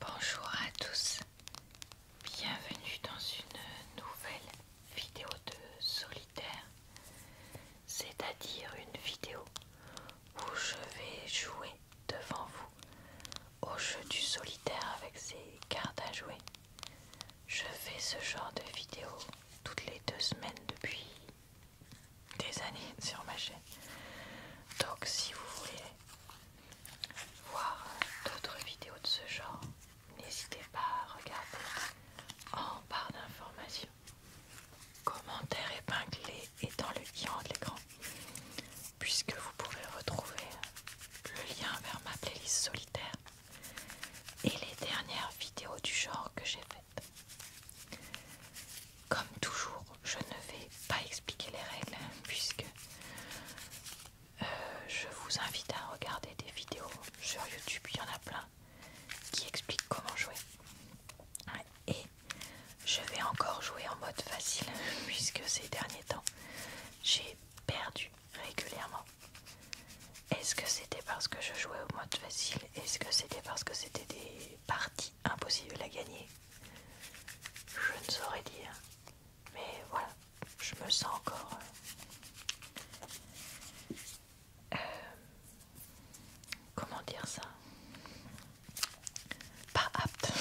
Bonjour à tous, bienvenue dans une nouvelle vidéo de solitaire, c'est-à-dire une vidéo où je vais jouer devant vous au jeu du solitaire avec ses cartes à jouer. Je fais ce genre de vidéo toutes les deux semaines depuis des années sur ma chaîne. Donc si vous voulez voir d'autres vidéos de ce genre, n'hésitez pas à regarder en barre d'informations. Commentaire épinglé et dans le lien de l'écran, puisque vous pouvez retrouver le lien vers ma playlist solitaire et les dernières vidéos du genre que j'ai faites. Comme toujours, je ne vais pas expliquer les règles puisque euh, je vous invite à regarder des vidéos sur YouTube, il y en a plein qui expliquent comment jouer. Et je vais encore jouer en mode facile puisque ces derniers temps j'ai perdu régulièrement. Est-ce que c'était parce que je jouais au mode facile Est-ce que c'était parce que c'était des parties impossibles à gagner Je ne saurais dire. Mais voilà, je me sens encore euh, comment dire ça Pas apte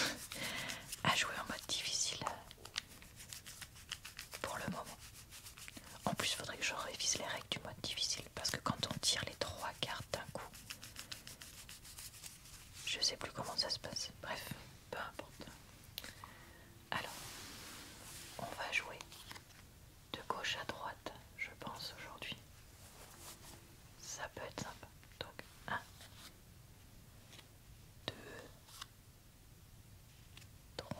à jouer en mode difficile pour le moment. En plus, il faudrait que je révise les règles du mode difficile parce que quand on tire les trois cartes d'un coup, je sais plus comment ça se passe. Bref, peu importe. Alors, on va jouer de gauche à droite, je pense, aujourd'hui. Ça peut être sympa. Donc, 1, 2, 3,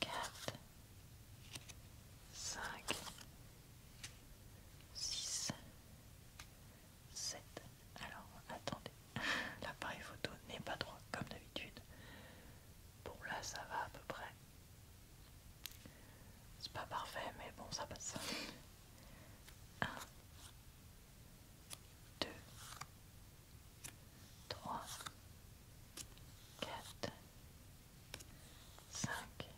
4, 5, 6, 7. Alors attendez, l'appareil photo n'est pas droit comme d'habitude. Bon là ça va à peu près. C'est pas parfait mais bon ça passe. 1, 2, 3, 4, 5,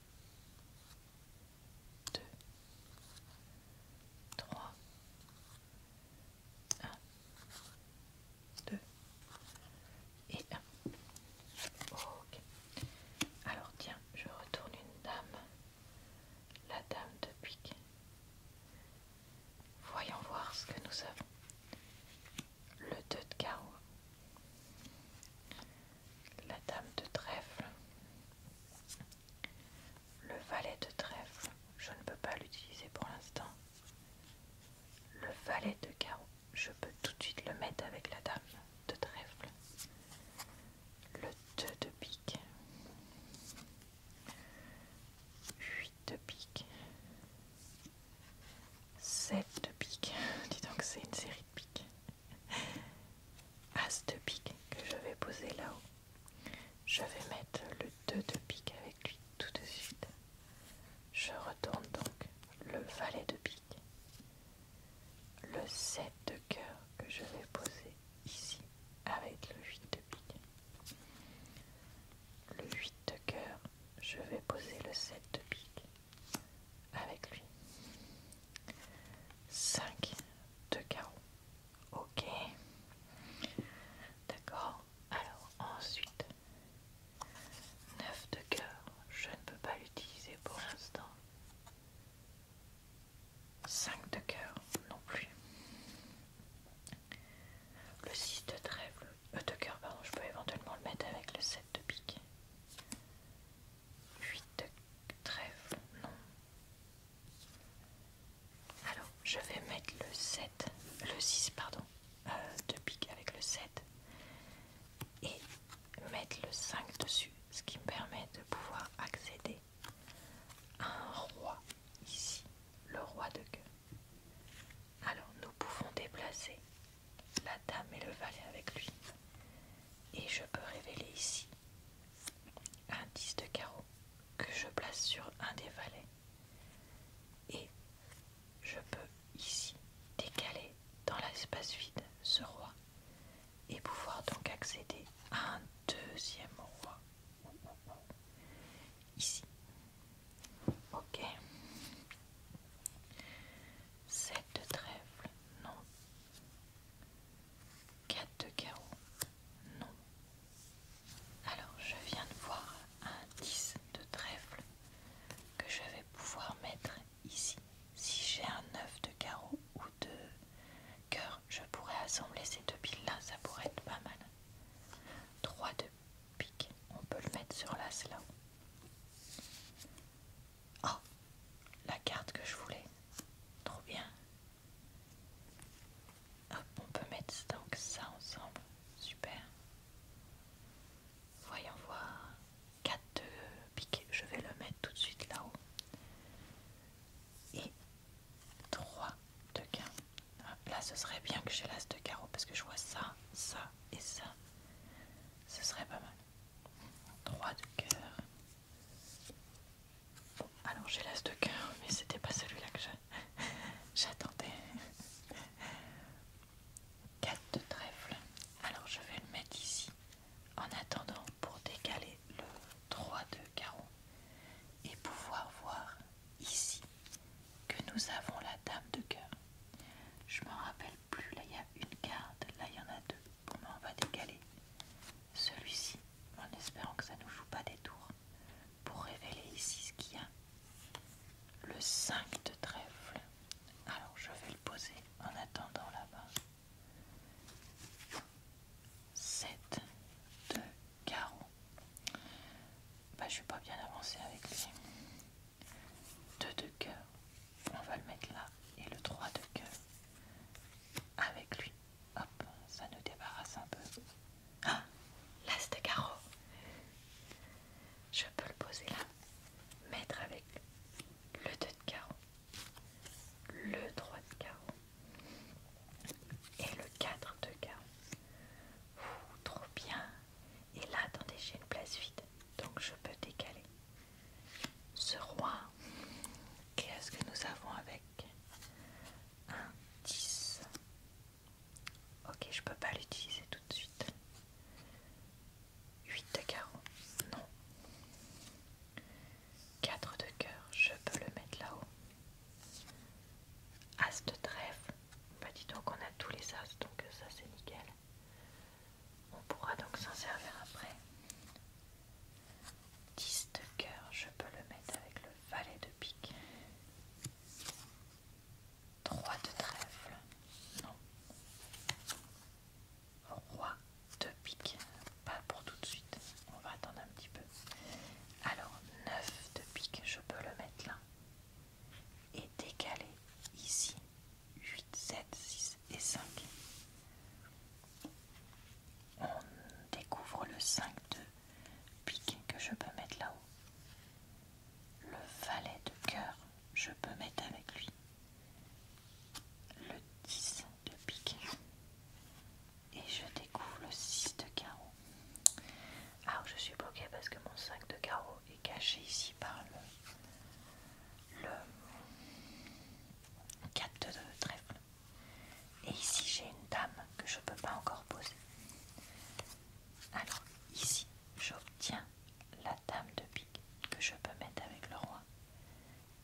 2, 3, 1, 2 et 1. Ok. Alors tiens, je retourne une dame. La dame de pique. Voyons voir ce que nous avons. Le 2 de carreau la dame de trèfle, le valet de trèfle, je ne peux pas l'utiliser pour l'instant. Le valet de carreau, je peux tout de suite le mettre avec la dame de trèfle. Le 2 de pique, 8 de pique, 7 de pique, dis donc c'est une série de piques. As de pique que je vais poser là-haut. Je vais mettre le 2 de pique avec lui tout de suite. Je retourne donc le valet de pique. Le 7 de cœur que je vais poser ici avec le 8 de pique. Le 8 de cœur, je vais poser le 7 de pique avec lui. 5 de carreau. Ok. D'accord. Alors ensuite, 9 de cœur. Je ne peux pas l'utiliser pour l'instant. 5 de cœur non plus. Le 6 de trèfle, euh, de cœur, pardon, je peux éventuellement le mettre avec le 7 de pique. 8 trèfles, non. Alors, je vais mettre le 7, le 6, pardon, euh, de pique avec le 7 et mettre le 5 dessus, ce qui me permet de pouvoir accéder à un roi ici, le roi de gueule. Alors, nous pouvons déplacer la dame et le valet avec lui et je peux révéler ici un 10 de carreau que je place sur un des valets et je peux ici décaler dans l'espace vide ce roi et pouvoir donc accéder à un deuxième roi ici ok cette trèfle non 4 de carreau. Non. Alors, je viens de voir un 10 de trèfle que je vais pouvoir mettre ici. Si j'ai un 9 de carreau ou de cœur, je pourrais assembler ces deux piles-là, ça pourrait être pas mal. 3 de pique, on peut le mettre sur l'as là. Oh, la carte que je voulais. Trop bien. on peut mettre donc ça ensemble. Super. Voyons voir. 4 de piqué. Je vais le mettre tout de suite là-haut. Et 3 de carreau. Ah, là, ce serait bien que j'ai l'as de carreau parce que je vois ça, ça et ça. Ce serait pas mal. 3 de cœur. alors j'ai l'as de cœur, mais c'était pas celui-là que j'attendais. 4 de trèfle. Alors je vais le mettre ici en attendant pour décaler le 3 de carreau et pouvoir voir ici que nous avons la dame de cœur. Je me rappelle plus, là il y a une carte, là il y en a deux. Comment on va décaler celui-ci en espérant que ça ne nous joue pas des tours pour révéler ici ce qu'il y a. Le 5 de trèfle. Alors je vais le poser en attendant là-bas. 7 de carreau. Bah, je suis pas bien avancée avec les 2 de cœur on va le mettre là et le 3 de cœur avec lui. Hop, ça nous débarrasse un peu. Ah, l'as de carreau. Je peux le poser là. Mettre avec le 2 de carreau. Le 3 de carreau. Et le 4 de carreau. trop bien. Et là, attendez, j'ai une place vide. Donc je peux décaler ce roi. Qu'est-ce que nous avons avec un 10 Ok, je peux pas l'utiliser tout de suite. 8 de carreau, non. 4 de cœur, je peux le mettre là-haut. As de trèfle, bah dis donc on a tous les as, donc ça c'est nickel. On pourra donc s'en servir après. 10 de cœur, je peux le mettre avec le valet de pique. 3 de trèfle, non. Roi de pique, pas pour tout de suite, on va attendre un petit peu. Alors 9 de pique, je peux le mettre là. Et décaler ici 8, 7, 6, et 5. On découvre le 5 de pique que je peux mettre là-haut. Le valet de cœur, je peux mettre avec lui. Le 10 de pique. Et je découvre le 6 de carreau. Alors ah, je suis bloquée parce que mon 5 de carreau est caché ici par le, le 4 de trèfle. Et ici, j'ai une dame que je ne peux pas encore poser. Alors, ici, j'obtiens la dame de pique que je peux mettre avec le roi.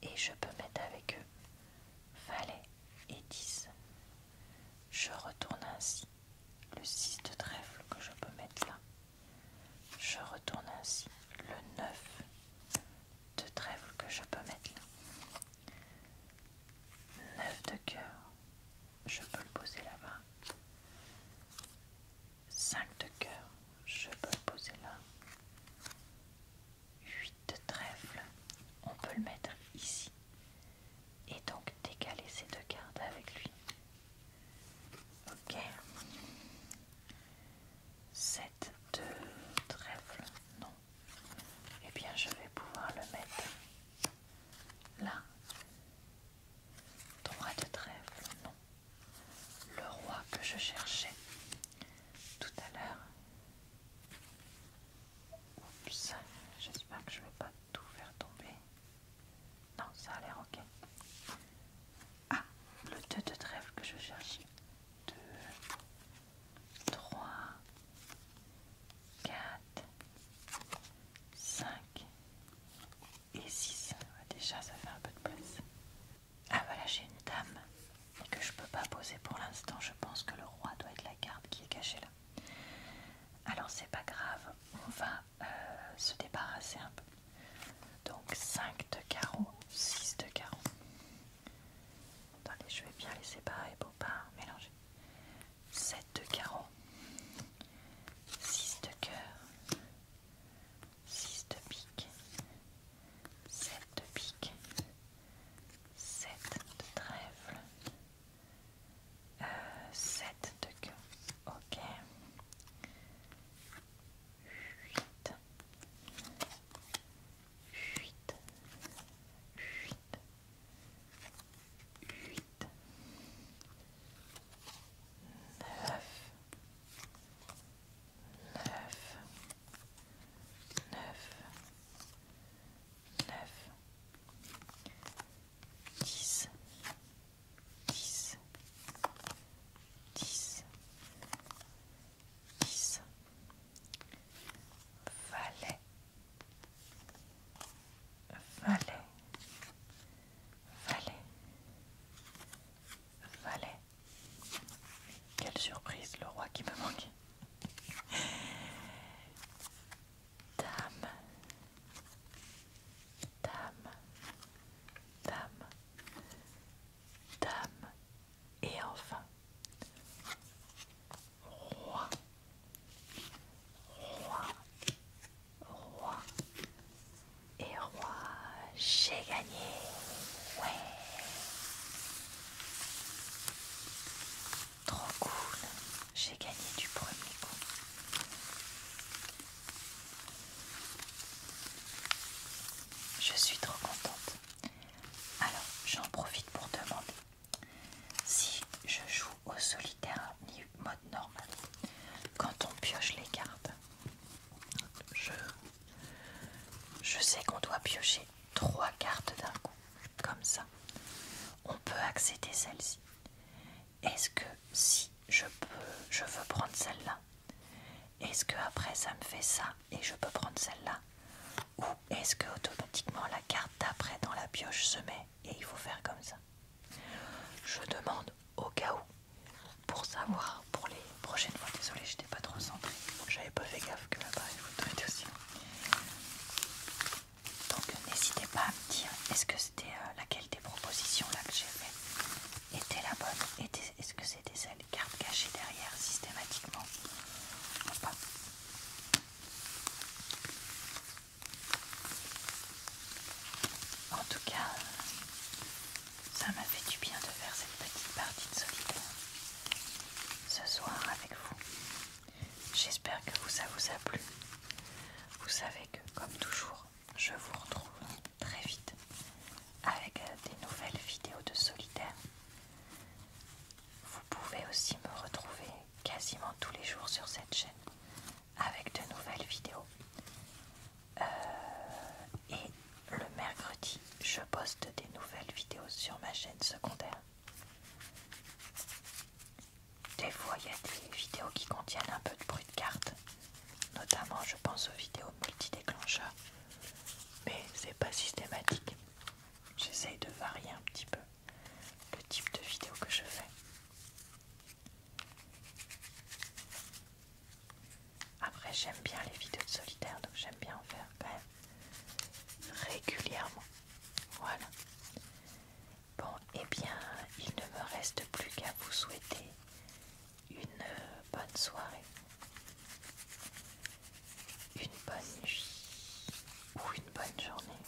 Et je peux mettre avec eux valet et 10. Je retourne ainsi le 6 de trèfle que je peux mettre là. Je retourne ainsi le 9 de trèfle que je peux mettre là. 9 de cœur, je peux le poser là-bas. 5 de cœur, je peux le poser là. 8 de trèfle, on peut le mettre ici. Et donc décaler ces deux cartes avec lui. Ok. 7 de trèfle, non. Eh bien, je vais pouvoir le mettre là. 3 de trèfle, non. Le roi que je cherchais tout à l'heure. Oups, j'espère que je ne vais pas tout faire tomber. Non, ça a l'air ok. Ah, le 2 de trèfle que je cherchais. 2, 3, 4, 5 et 6. Déjà, ça fait un peu de place. Ah voilà, j'ai une dame que je ne peux pas poser pour l'instant. Je pense que le roi doit être la carte qui est cachée là. Alors c'est pas grave, on va euh, se débarrasser un peu. Donc 5 de carreau, 6 de carreau. Attendez, je vais bien les séparer pour pas mélanger. 7 de carreau, 6 de cœur, 6 de pique, 7 de pique, 7 de trèfle, 7 euh, de cœur, ok, 8, huit, huit, neuf, neuf, neuf, dix, dix, dix. 10 Valais Valais Valais Valais Quelle surprise, le roi qui me manquait Dame Dame Dame dame et enfin roi. Roi, roi et roi, j'ai gagné. Ouais. Trop cool, j'ai gagné du premier coup. Je suis trop contente. Alors, j'en profite pour demander si je joue au solitaire ni mode normal. Quand on pioche les cartes, je, je sais qu'on doit piocher trois cartes d'un coup, comme ça. On peut accéder celle-ci. Est-ce que si je peux, je veux prendre celle-là, est-ce que après ça me fait ça et je peux prendre celle-là ou est-ce que automatiquement la carte d'après dans la pioche se met et il faut faire comme ça Je demande au cas où pour savoir pour les prochaines fois. Désolée, j'étais pas trop centrée. J'avais pas fait gaffe que l'appareil faut être aussi. Donc n'hésitez pas à me dire est-ce que c'était euh, laquelle des propositions là que j'ai fait était la bonne Est-ce que des cartes cachées derrière systématiquement. En tout cas, ça m'a fait du bien de faire cette petite partie de solitaire ce soir avec vous. J'espère que vous, ça vous a plu. Vous savez que, comme toujours, je vous retrouve très vite avec des nouvelles vidéos de solitaire. Vous pouvez aussi me retrouver quasiment tous les jours sur cette chaîne avec de nouvelles vidéos. Euh, et le mercredi, je poste des nouvelles vidéos sur ma chaîne secondaire. Des fois, il y a des vidéos qui contiennent un peu de bruit de carte, notamment je pense aux vidéos multi-déclencheurs, mais c'est pas systématique. J'essaye de varier un petit peu le type de vidéo que je fais. Après, j'aime bien les vidéos de solitaire, donc j'aime bien en faire quand même régulièrement. Voilà. Bon, et eh bien, il ne me reste plus qu'à vous souhaiter une bonne soirée une bonne nuit ou une bonne journée.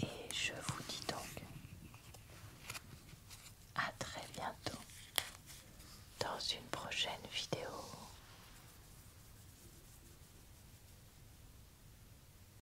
Et je vous dis donc à très bientôt dans une prochaine vidéo.